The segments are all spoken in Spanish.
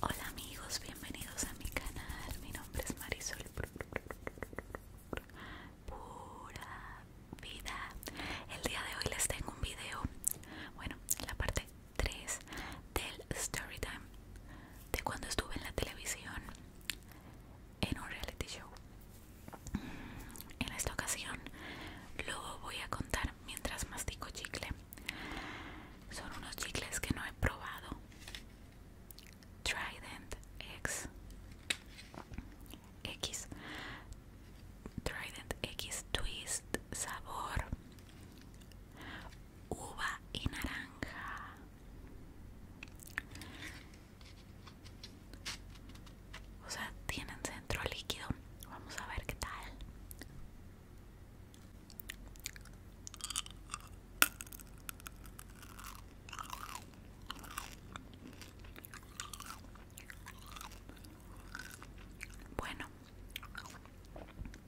Hola amigos, bienvenidos a mi canal. Mi nombre es Marisol. Pura vida. El día de hoy les tengo un video. Bueno, la parte 3 del story time de cuando estuve en la televisión en un reality show. En esta ocasión lo voy a contar mientras mastico chicle. Son unos chicles que no he probado. Trident X. X. Trident X Twist sabor uva y naranja. O sea, tienen centro líquido. Vamos a ver qué tal. Bueno,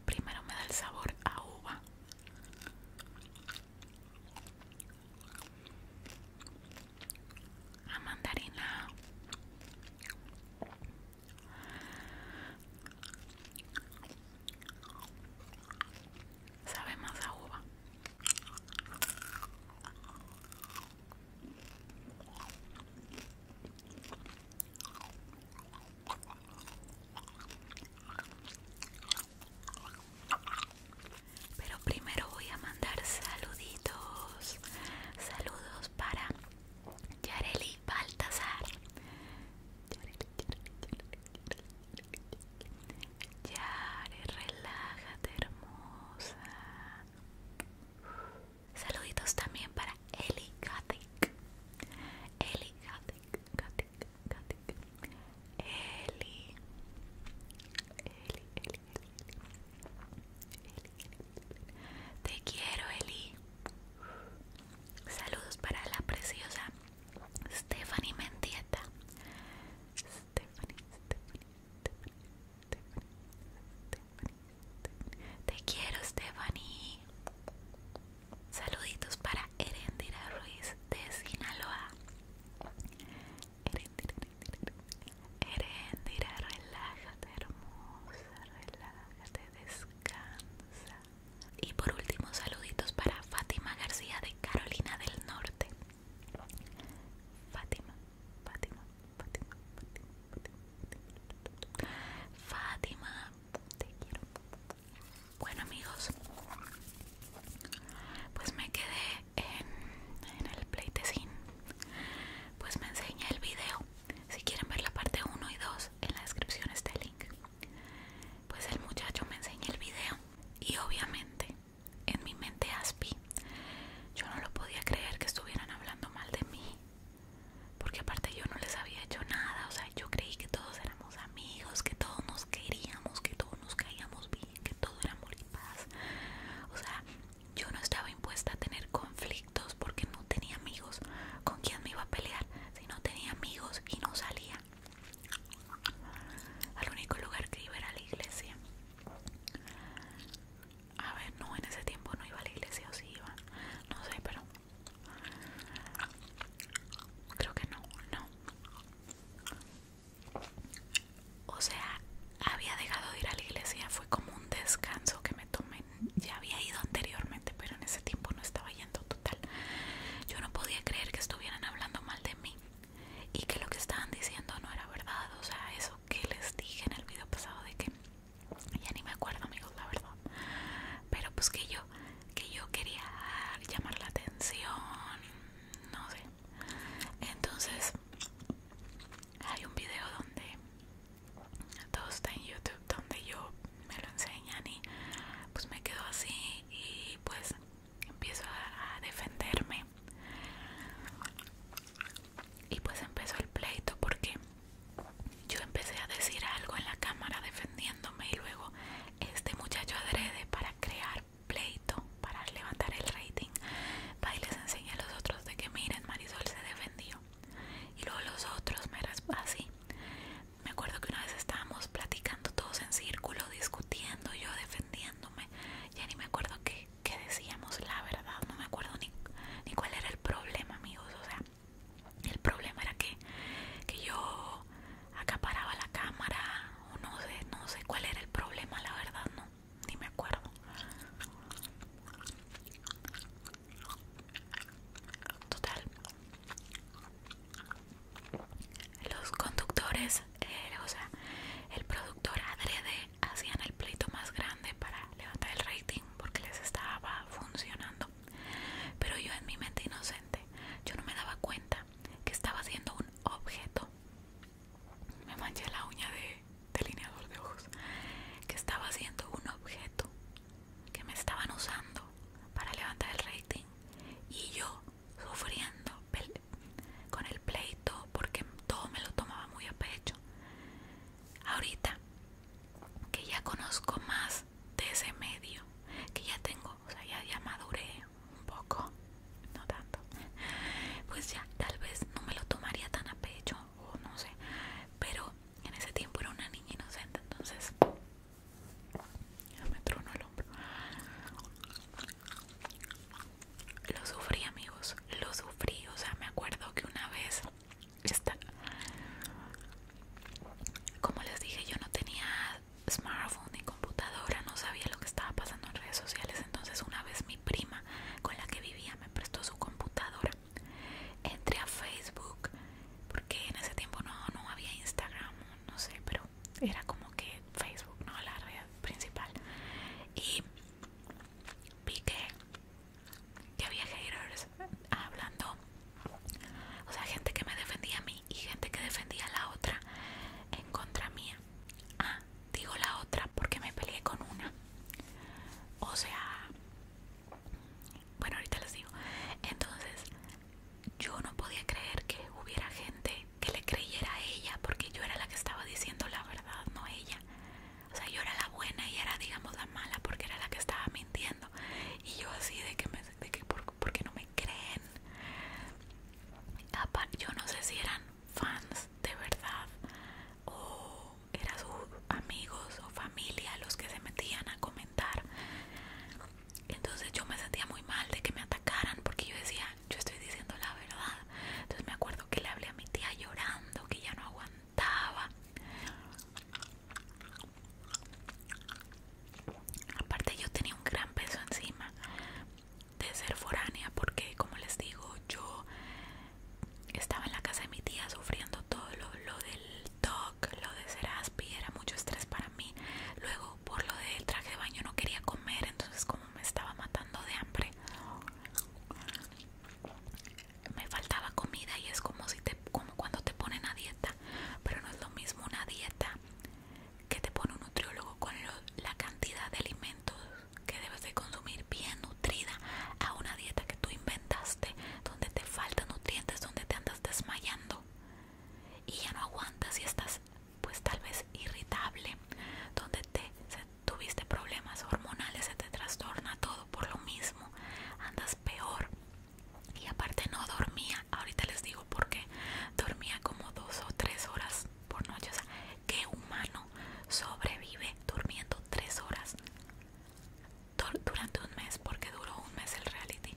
primero me da el sabor a uva. A mandarina Sabe más a uva. Pero primero voy a mandar saluditos. Saludos para Yareli Baltasar Yareli, Yare, relájate hermosa Saluditos también para Eli Gatic Eli Katik Eli, Eli, Eli, Eli. Te quiero, Eli. Saludos para la preciosa Stephanie Mendieta. Stephanie, Stephanie, Stephanie, Stephanie, Te quiero, Stephanie. Saluditos para Erendira Ruiz de Sinaloa. Erendira relájate, hermosa, relájate, descansa. Y por último, saluditos para Fátima García de Carolina del Norte. Fátima, Fátima, Fátima, Fátima, te quiero. Bueno amigos, pues me quedé en, el pleitecín. Pues me enseñé el video si quieren ver la parte 1 y 2, en la descripción está el link. Pues el muchacho me enseña el video y obviamente en mi mente aspi. Yo no lo podía creer que estuvieran hablando mal de mí. Porque aparte yo no les había hecho nada, o sea, yo creí que todos éramos amigos, que todos nos queríamos, que todos nos caíamos bien, que todo era amor y paz. O sea, yo no estaba impuesta a tener conflictos porque no tenía amigos. ¿Con quién me iba a pelear si no tenía amigos y no salía? Al único lugar que iba era la iglesia. A ver, no, en ese tiempo no iba a la iglesia o si iba. No sé, pero... Creo que no, no. O sea, había dejado de ir a la iglesia, fue como un descanso que me tomé ya había ido anteriormente, pero en ese tiempo no estaba yendo total. Yo no podía creer que estuvieran hablando mal de mí y que lo que estaban diciendo no era verdad. O sea, eso que les dije en el video pasado de que ya ni me acuerdo, amigos, la verdad. Pero pues que yo, que yo quería llamar la atención, no sé. Entonces, hay un video donde todo está en YouTube donde yo me lo enseñan y pues me quedo así y pues empiezo a, defenderme y pues empezó el pleito porque yo empecé a decir algo en la cámara defendiéndome y luego este muchacho adrede para crear pleito, para levantar el rating, va y les enseña a los otros de que miren Marisol se defendió y luego los otros me así. Me acuerdo que una vez estábamos platicando todos en círculo, discutiendo, yo defendiéndome. Ya ni me acuerdo que decíamos, la verdad, no me acuerdo ni, ni cuál era el problema, amigos. O sea, el problema era que, que yo acaparaba la cámara, o no sé, no sé cuál era el problema, la verdad, no, ni me acuerdo. Total. Los conductores, eh, o sea, el productor adrede hacían el pleito más grande para levantar el rating porque les estaba funcionando. Pero yo en mi mente inocente, yo no me daba cuenta que estaba siendo un objeto. Me manché la uña de delineador de ojos. Que estaba siendo un objeto que me estaban usando para levantar el rating y yo sufriendo con el pleito porque todo me lo tomaba muy a pecho. Ahorita que ya conozco más de ese medio, que ya tengo, o sea, ya, ya maduré un poco, no tanto, pues ya tal vez no me lo tomaría tan a pecho o no sé, pero en ese tiempo era una niña inocente, entonces me tronó el hombro. Lo sufrí, amigos, lo sufrí. O sea, me acuerdo que una vez, como les dije, yo no tenía smartphone ni computadora, no sabía lo que estaba pasando en redes sociales. Entonces, una vez mi prima con la que vivía me prestó su computadora entré a Facebook porque en ese tiempo no, no había Instagram, no sé, pero era como que Facebook, ¿no? La red principal. Y vi que había haters hablando, o sea, gente que me defendía a mí y gente que defendía a la otra en contra mía. Ah, digo la otra porque me peleé con una. O sea, bueno, ahorita les digo. Entonces, yo no podía creer que hubiera gente que le creyera a ella, porque yo era la que estaba diciendo la verdad, no ella. O sea, yo era la buena y era, digamos, la mala, porque era la que estaba mintiendo. Y yo así de que, me, de qué no me creen? Yo no sé si eran fans de verdad o eran sus amigos o familia los que se metían a comentar. Entonces yo me sentía muy mal de que me atacaran porque yo decía, yo estoy diciendo la verdad. Entonces me acuerdo que le hablé a mi tía llorando, que ya no aguantaba. Aparte yo tenía un gran peso encima de ser foránea porque como les digo yo estaba en la casa de mi tía sufriendo todo lo, del TOC, lo de seraspi, era mucho estrés para mí. Luego, por lo del traje de baño, no quería comer, entonces, como me estaba matando de hambre, me faltaba comida y es como, si te, como cuando te ponen a dieta, pero no es lo mismo una dieta que te pone un nutriólogo con la cantidad de alimentos que debes de consumir bien nutrida a una dieta que tú inventaste donde te faltan nutrientes, donde te andas desmayando y ya no aguantas y estás pues tal vez irritable, donde te tuviste problemas hormonales, se te trastorna todo por lo mismo, andas peor y aparte no dormía, ahorita les digo por qué, dormía como dos o tres horas por noche, o sea, ¿qué humano sobrevive durmiendo tres horas? durante un mes porque duró un mes el reality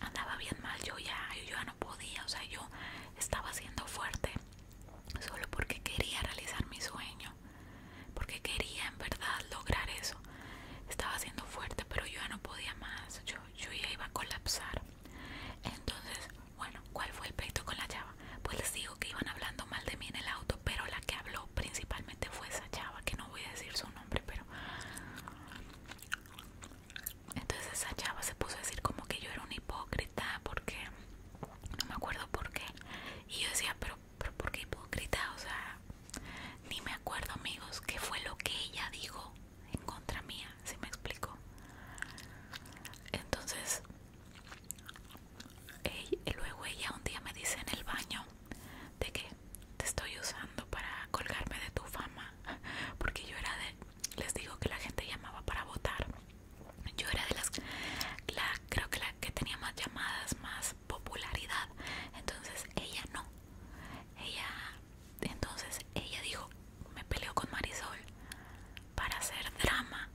andaba bien mal yo ya yo ya no podía o sea yo estaba siendo fuerte solo porque quería realizar mi sueño porque quería en verdad lograr eso estaba siendo fuerte pero yo ya no podía más yo, yo ya iba a colapsar entonces bueno cuál fue el pleito con la llave pues les digo que iban hablando mal de mí en el auto, pero la que habló principalmente fue esa chava, que no voy a decir su nombre, pero... Entonces esa chava se puso a decir como que yo era una hipócrita, porque... No me acuerdo por qué. Y yo decía, pero, pero ¿por qué hipócrita? O sea, ni me acuerdo amigos, qué fue lo que ella dijo en contra mía, si me explico. Entonces y luego ella un día me dice en el baño de que te estoy usando para colgarme de tu fama, porque yo era de, les digo que la gente llamaba para votar, yo era de las, creo que la que tenía más llamadas, más popularidad, entonces ella no, ella, entonces ella dijo, me peleó con Marisol para hacer drama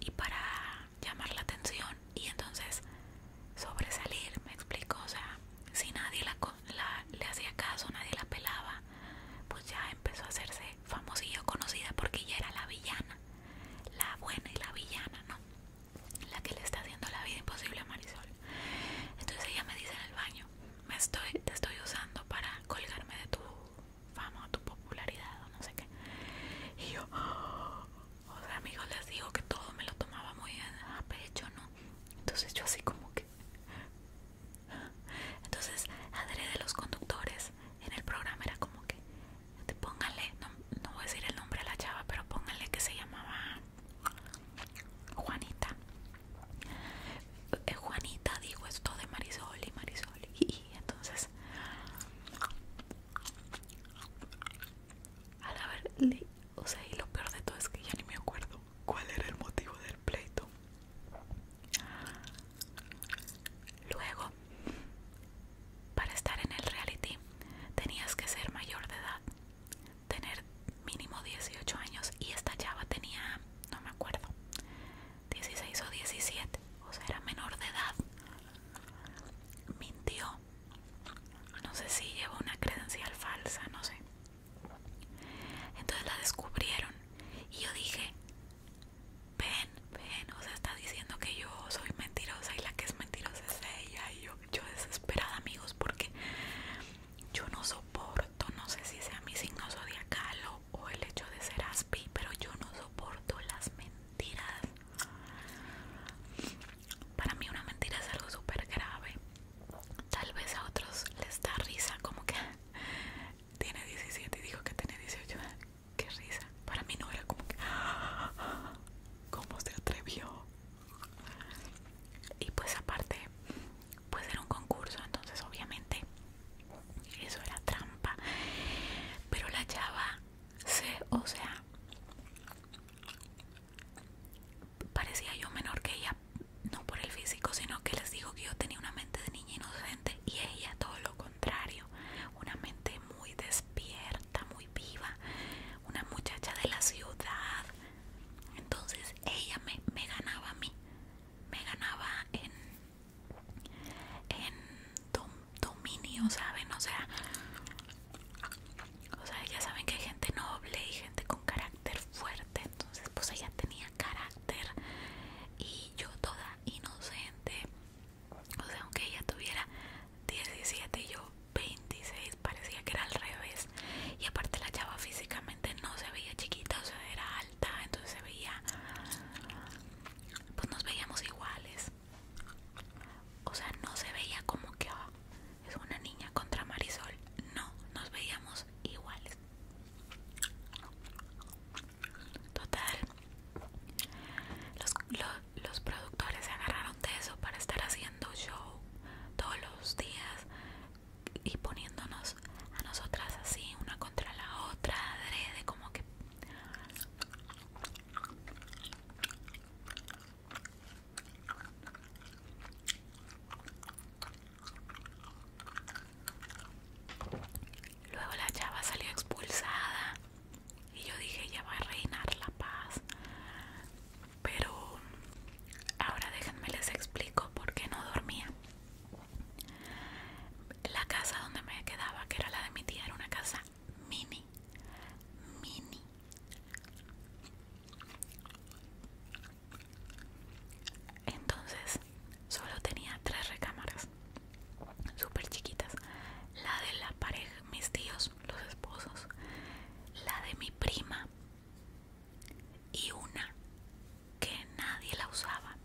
y para llamar la atención y entonces sobresalir, me explico, o sea, si nadie la, le hacía caso, nadie la pelaba, pues ya empezó a hacerse famosilla conocida porque ella era la villana, la buena y la villana, ¿no? La que le está haciendo la vida imposible a Marisol. Entonces ella me dice en el baño, me estoy, te estoy usando para colgarme de tu fama o tu popularidad o no sé qué. Y yo, amigos, les digo que todo me lo tomaba muy a pecho, ¿no? Entonces yo así como que... Entonces, de los conductores en el programa era como que... Pónganle, no, no voy a decir el nombre a la chava, pero pónganle que se llamaba... Juanita. Eh, Juanita dijo esto de Marisol y Marisol. y entonces al o sea, y lo peor de todo es que ya ni me acuerdo cuál era el motivo del pleito. Luego, para estar en el reality, tenías que ser mayor de edad, tener mínimo 18 años y esta chava tenía, no me acuerdo, 16 o 17, o sea, era menor de edad. Mintió no sé si lleva una credencial falsa, no sé. Entonces la descubrieron y yo dije, ven, ven, o sea, está diciendo que yo soy mentirosa y la que es mentirosa es ella y yo, desesperada amigos porque yo no soporto, no sé si sea mi signo zodiacal o el hecho de ser aspi, pero yo no soporto las mentiras. Para mí una mentira es algo súper grave. Tal vez a otros les da risa, como que tiene 17 y dijo que tiene 18. Qué risa. Para mí no era como que... ¿Cómo se atrevió? Y pues aparte, pues era un concurso, entonces obviamente eso era trampa. Pero la chava Sí, o sea, parecía yo menor que ella, no por el físico, sino que les digo que yo tenía una mente de niña inocente y ella todo lo contrario, una mente muy despierta, muy viva, una muchacha de la ciudad. Entonces ella me, me ganaba a mí, me ganaba en, en dominio, ¿saben? O sea, o sea, ya saben que hay gente noble y gente con carácter fuerte. Entonces, pues ella tenía carácter y yo toda inocente. O sea, aunque ella tuviera 17 y yo 26, parecía que era al revés. Y aparte la chava físicamente no se veía chiquita, o sea, era alta, entonces se veía... Pues nos veíamos iguales. O sea, no se veía como que ah, es una niña contra Marisol. No, nos veíamos iguales. Total. Los, los productores se agarraron de eso para estar haciendo show todos los días y poniéndonos a nosotras así, una contra la otra, adrede, como que Luego la chava salió expulsada y yo dije ya va a reinar la paz. Pero ahora déjenme les explico por qué no dormía. La casa donde me quedaba, que era la de mi tía, era una casa mini, mini. Entonces solo tenía tres recámaras, súper chiquitas. La de la pareja, mis tíos, los esposos, la de mi prima y una que nadie la usaba.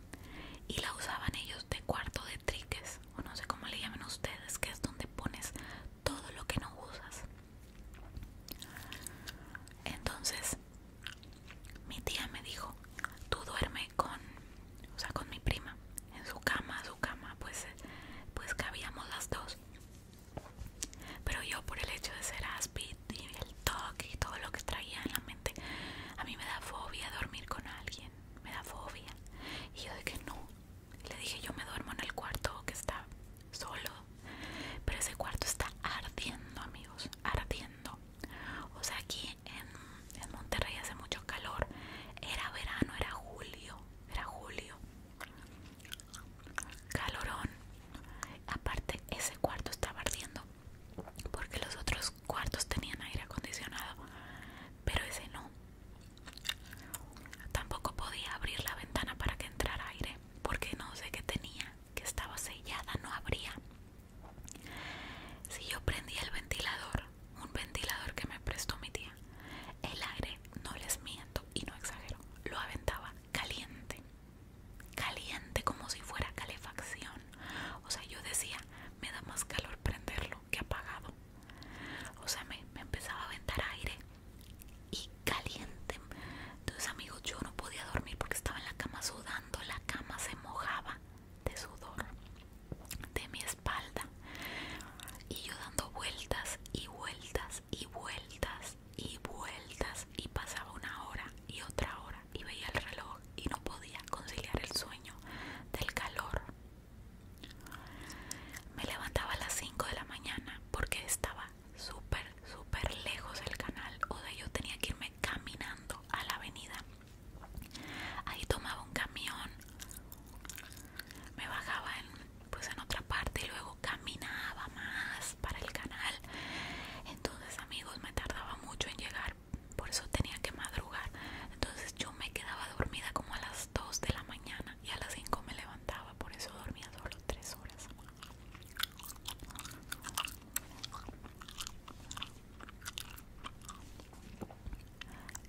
Y la usaban ellos de cuarto de triques o no sé cómo le llamen ustedes que es donde pones todo lo que no usas entonces mi tía me dijo tú duerme con o sea con mi prima en su cama su cama pues eh, pues cabíamos las dos pero yo por el hecho de ser aspid y el toque y todo lo que traía en la mente a mí me da fobia dormir con alguien me da fobia y yo de que no le dije yo me duermo en el cuarto que está solo. Pero ese cuarto está ardiendo amigos, ardiendo. O sea, aquí en, en Monterrey hace mucho calor. Era verano, era julio, era julio. Calorón. Aparte, ese cuarto estaba ardiendo. Porque los otros cuartos tenían aire acondicionado. Pero ese no. Tampoco podía abrir la ventana para que entrara aire, porque no sé qué tenía, que estaba sellada, no abría. Si yo prendía el ventilador, un ventilador que me prestó mi tía, el aire, no les miento y no exagero, lo aventaba caliente, caliente como si fuera calefacción. O sea, yo decía, me da más calor prenderlo que apagado. O sea, me, me empezaba a aventar aire y caliente. Entonces, amigos, yo no podía dormir porque estaba en la cama sudando. La cama se mojaba de sudor de mi espalda. Y yo dando vueltas y vueltas y vueltas y vueltas. Y pasaba una hora y otra hora. Y veía el reloj y no podía conciliar el sueño del calor me levantaba a las 5 de la mañana porque estaba súper, súper lejos del canal. O de yo tenía que irme caminando a la avenida. Ahí tomaba un camión, me bajaba en, pues en otra parte y luego caminaba más para el canal. Entonces, amigos, me tardaba mucho en llegar, por eso tenía que madrugar. Entonces, yo me quedaba dormida como a las 2 de la mañana y a las 5 me levantaba, por eso dormía solo 3 horas.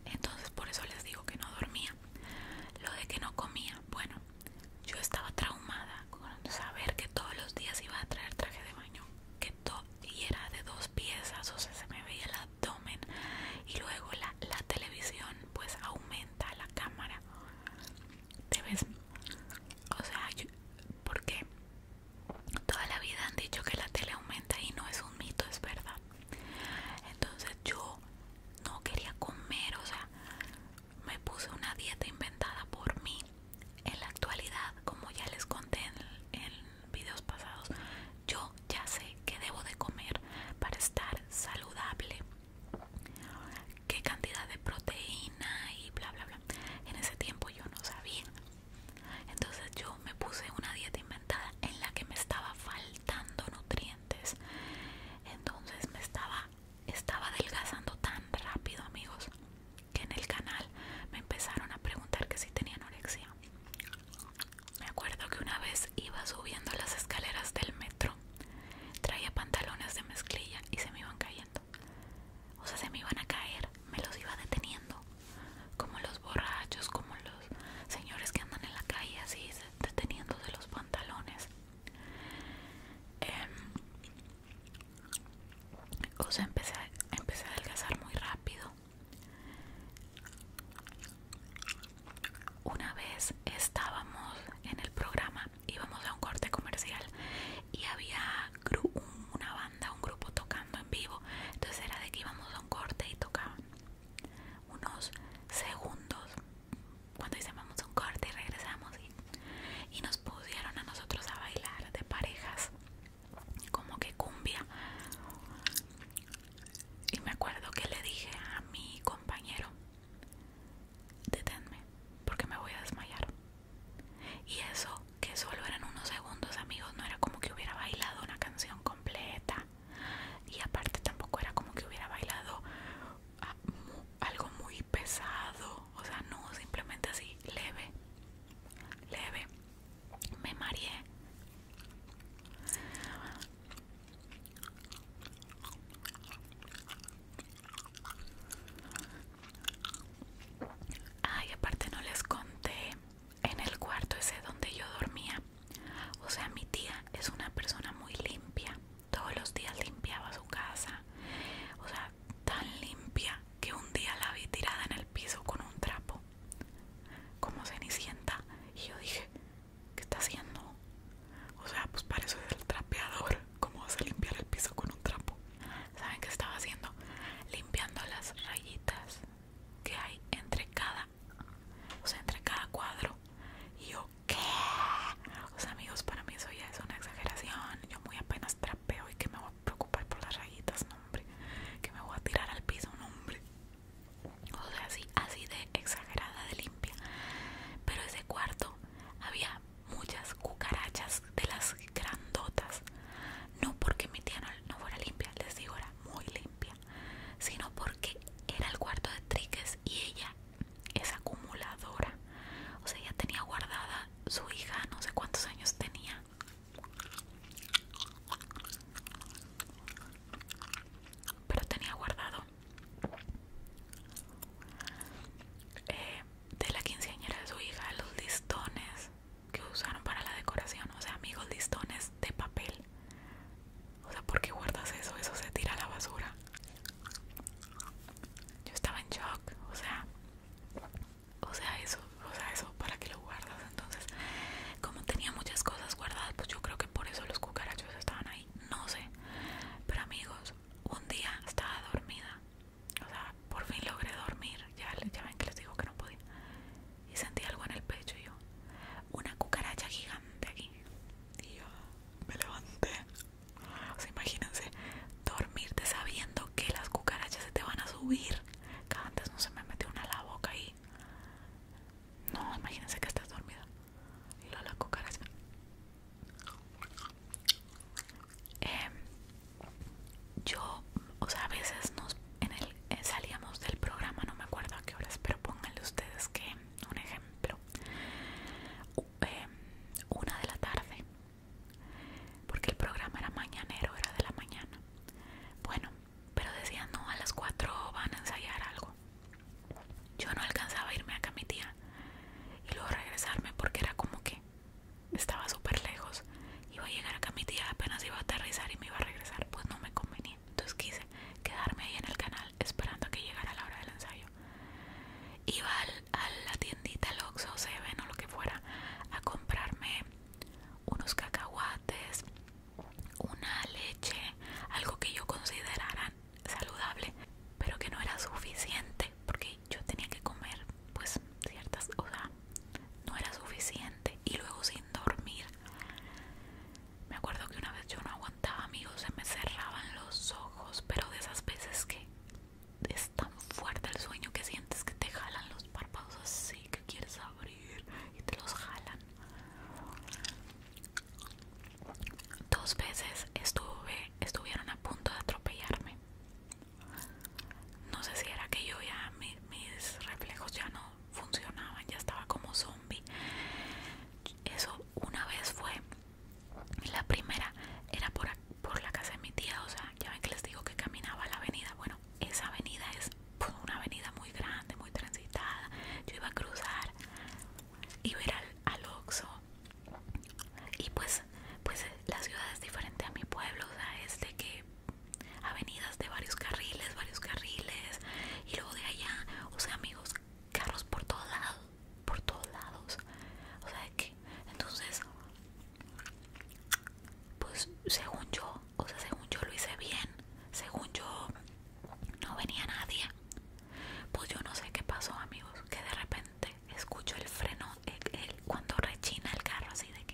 Entonces por eso les digo que no dormía. Lo de que no comía, bueno, yo estaba traumada con saber que todos los días iba a traer traje de baño, que y era de dos piezas, o sea, se me veía el abdomen y luego la televisión pues aumenta la cámara te ves o sea porque toda la vida han dicho que la tele aumenta y no es un mito es verdad entonces yo no quería comer o sea me puse una dieta inventada por mí en la actualidad como ya les conté en, en videos pasados yo ya sé qué debo de comer para estar saludable, qué cantidad de proteína y bla, bla, bla. En ese tiempo yo no sabía. Entonces yo me puse una dieta inventada en la que me estaba faltando nutrientes. Entonces me estaba, estaba adelgazando tan rápido, amigos, que en el canal me empezaron a preguntar que si tenía anorexia. Me acuerdo que una vez iba subiendo las escaleras del metro. Traía pantalones de mezclilla y se me iban cayendo. O sea, se me iban a caer. Me los iba deteniendo. Como los borrachos, como los señores que andan en la calle así, deteniéndose los pantalones. Em, o sea, empecé a, empecé a adelgazar muy rápido. Una vez estábamos en el programa, íbamos a un corte comercial y había una banda, un grupo tocando en vivo. Entonces era de que íbamos a un corte y tocaban unos segundos. Cuando hicimos un corte y regresamos y, y nos pusieron a nosotros a bailar de parejas, como que cumbia. Y me acuerdo que le dije a mi compañero, deténme, porque me voy a desmayar. Y eso, que solo eran unos segundos, amigos, no era como que hubiera bailado una canción completa. Y aparte tampoco era como que hubiera bailado ah, algo muy pesado. O sea, no, simplemente así, leve, leve. Me mareé. Ay, aparte no les conté en el cuarto ese donde yo dormía. O sea, mi tía es una persona muy limpia. Todos los días limpiaba su casa. O sea, tan limpia que un día la vi tirada en el piso con un trapo. Como cenicienta. Y yo dije, ¿Qué está haciendo? O sea, pues para eso es el trapeador. ¿Cómo vas a limpiar el piso con un trapo? ¿Saben qué estaba haciendo? Limpiando las rayitas que hay entre cada, o sea, entre cada cuadro. Y yo, ¿qué? O amigos, para mí eso ya es una exageración. Yo muy apenas trapeo y que me voy a preocupar por las rayitas, hombre. Que me voy a tirar al piso, no, hombre o sea, así, así de exagerada de limpia. Pero ese cuarto había muchas cucarachas de las grandotas. No porque mi tía no, fuera limpia, les digo, era muy limpia, sino porque era el cuarto de Triques y ella es acumuladora. O sea, ella tenía guardada su hija, no sé cuántos años tenía. Pero tenía guardado eh, de la quinceañera de su hija, los listones que usaron para la decoración, o sea, amigos, listones de papel. O sea, ¿por qué guardas eso? Eso se tira a la basura. Yo estaba en shock, o sea, o sea, eso, o sea, eso, ¿para qué lo guardas? Entonces, como tenía muchas cosas guardadas pues yo creo que por eso los cucarachos estaban ahí no sé pero amigos un día estaba dormida o sea por fin logré dormir ya, ven que les digo que no podía y sentí algo en el pecho y yo una cucaracha gigante aquí y yo me levanté o sea imagínense dormirte sabiendo que las cucarachas se te van a subir que antes no se me metió una a la boca ahí no, imagínense que estás dormido Lola coca, la em, yo, o sea, a veces nos en el, eh, salíamos del programa, no me acuerdo a qué horas, pero pónganle ustedes que un ejemplo, em, una de la tarde, porque el programa era mañanero, era de la mañana. Bueno, pero decían no, a las 4 van a ensayar algo yo no alcanzaba a irme acá a mi tía y luego regresarme porque era como que estaba súper lejos. Iba a llegar acá a mi tía, apenas iba a aterrizar y me iba a regresar, pues no me convenía. Entonces quise quedarme ahí en el canal esperando a que llegara la hora del ensayo. Iba a la tiendita, Lox o Seven o lo que fuera, a comprarme unos cacahuates, una leche, algo que yo considerara saludable, pero que no era suficiente porque yo tenía que comer pues ciertas, o sea, no era suficiente y luego sin dormir. Me acuerdo que una vez yo no aguantaba, amigos, se me cerraban los ojos, pero de esas veces que es tan fuerte el sueño que sientes que te jalan los párpados así que quieres abrir y te los jalan. Dos veces estuve, estuvieron a punto de atropellarme. No sé si era que yo ya mis reflejos ya no funcionaban, ya estaba como zombie. Eso una vez fue. La primera era por, por la casa de mi tía, o sea, ya ven que les digo que caminaba la avenida. Bueno, esa avenida es una avenida muy grande, muy transitada. Yo iba a cruzar y ver al, oxo y pues pues la ciudad es diferente a mi pueblo sea es de que avenidas de varios carriles varios carriles y luego de allá o sea amigos carros por todos lados por todos lados o sea que entonces pues según yo o sea según yo lo hice bien según yo no venía nadie pues yo no sé qué pasó, amigos, que de repente escucho el freno el, cuando rechina el carro así de que...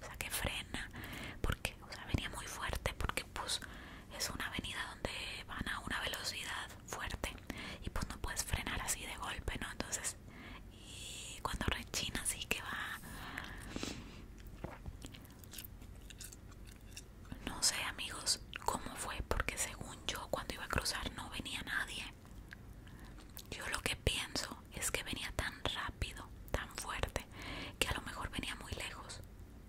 O sea, que frena, porque, o sea, venía muy fuerte, porque pues es una avenida donde van a una velocidad fuerte y pues no puedes frenar así de golpe, ¿no? Entonces, y cuando rechina así que va... No sé amigos cómo fue porque según yo cuando iba a cruzar no venía nadie. Yo lo que pienso es que venía tan rápido, tan fuerte, que a lo mejor venía muy lejos,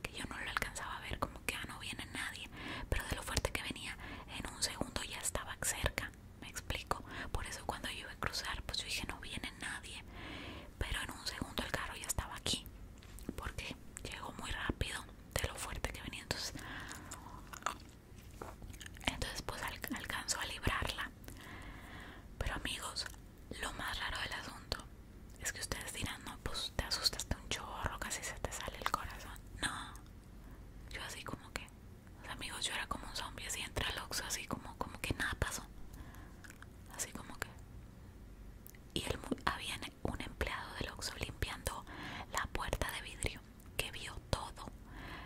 que yo no lo alcanzaba a ver como que ah, no viene nadie, pero de lo fuerte que venía en un segundo ya estaba cerca, me explico. Por eso cuando yo iba a cruzar, pues yo dije no viene nadie, pero en un segundo el carro ya estaba aquí, porque llegó muy rápido de lo fuerte que venía entonces pues alcanzó a librarla pero amigos lo más raro del asunto es que ustedes dirán no pues te asustaste un chorro casi se te sale el corazón no yo así como que amigos yo era como un zombie así entre así como como que nada pasó así como que y él, había un empleado del Oxxo limpiando la puerta de vidrio que vio todo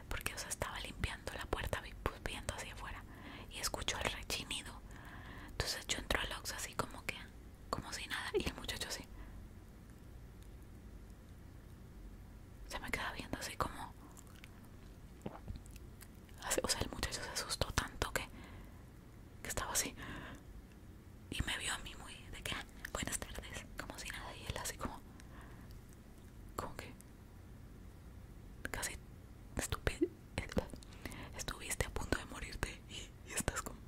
porque o sea, estaba limpiando la puerta pues, viendo hacia afuera y escuchó el rechinido entonces yo entro al Oxxo así como que como si nada y el muchacho así se me queda viendo así como o sea el muchacho se asustó tanto que que estaba así y me vio a mí muy de que ah, buenas tardes como si nada y él así como como que casi estúpido estuviste a punto de morirte y, estás como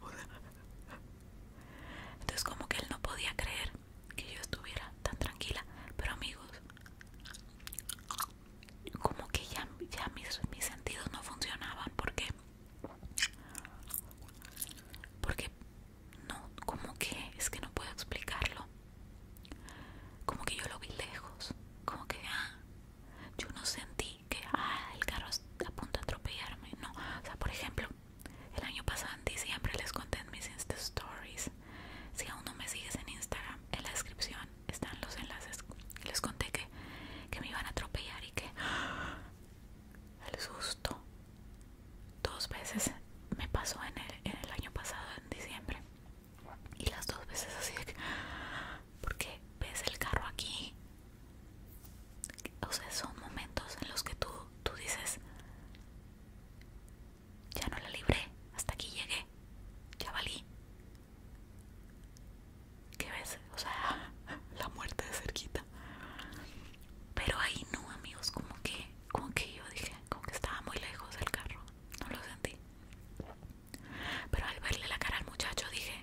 entonces como que él no podía creer que yo estuviera tan tranquila pero amigos como que ya, ya mis, sentidos no funcionaban porque porque no como que es que no puedo explicarlo como que yo lo vi lejos como que ah, yo no sentí que ah, el carro a punto de atropellarme no o sea por ejemplo el año pasado en diciembre les conté mis insta stories si aún no me sigues en instagram en la descripción están los enlaces. Les conté que, me iban a atropellar y que ¡ah! el susto dos veces me pasó en el, año pasado, en diciembre. Y las dos veces así de que, ¡ah! ¿por qué ves el carro aquí? O sea, son momentos en los que tú, tú dices, ya no la libré, hasta aquí llegué, ya valí, ¿Qué ves? O sea, la muerte de cerquita. Pero ahí no, amigos, como que, como que yo dije, como que estaba muy lejos del carro. No lo sentí. Pero al verle la cara al muchacho dije,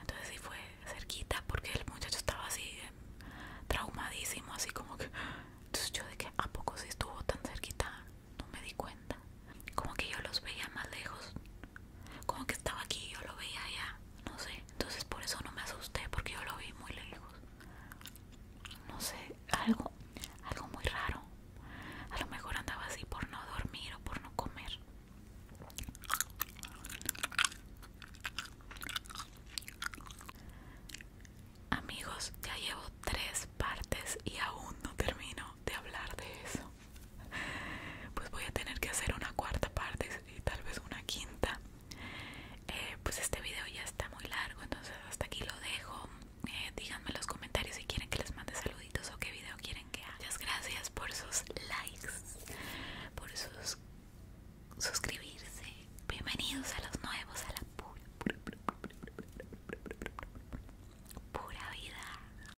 entonces sí fue cerquita porque el muchacho estaba así em, traumadísimo, así como que... Entonces yo de que a poco si estuvo tan cerquita, no me di cuenta. Como que yo los veía más lejos como que estaba aquí yo lo veía allá, no sé, entonces por eso no me asusté porque yo lo vi muy lejos, no sé, algo, algo muy raro, a lo mejor andaba así por no dormir o por no comer. Amigos, ya llevo tres partes y aún no termino de hablar de eso pues voy a tener que hacer una cuarta parte y tal vez una quinta pues este video ya está muy largo entonces hasta aquí lo dejo díganme en los comentarios si quieren que les mande saluditos o qué video quieren que haga gracias por sus likes por sus suscribirse bienvenidos a los nuevos a la pura vida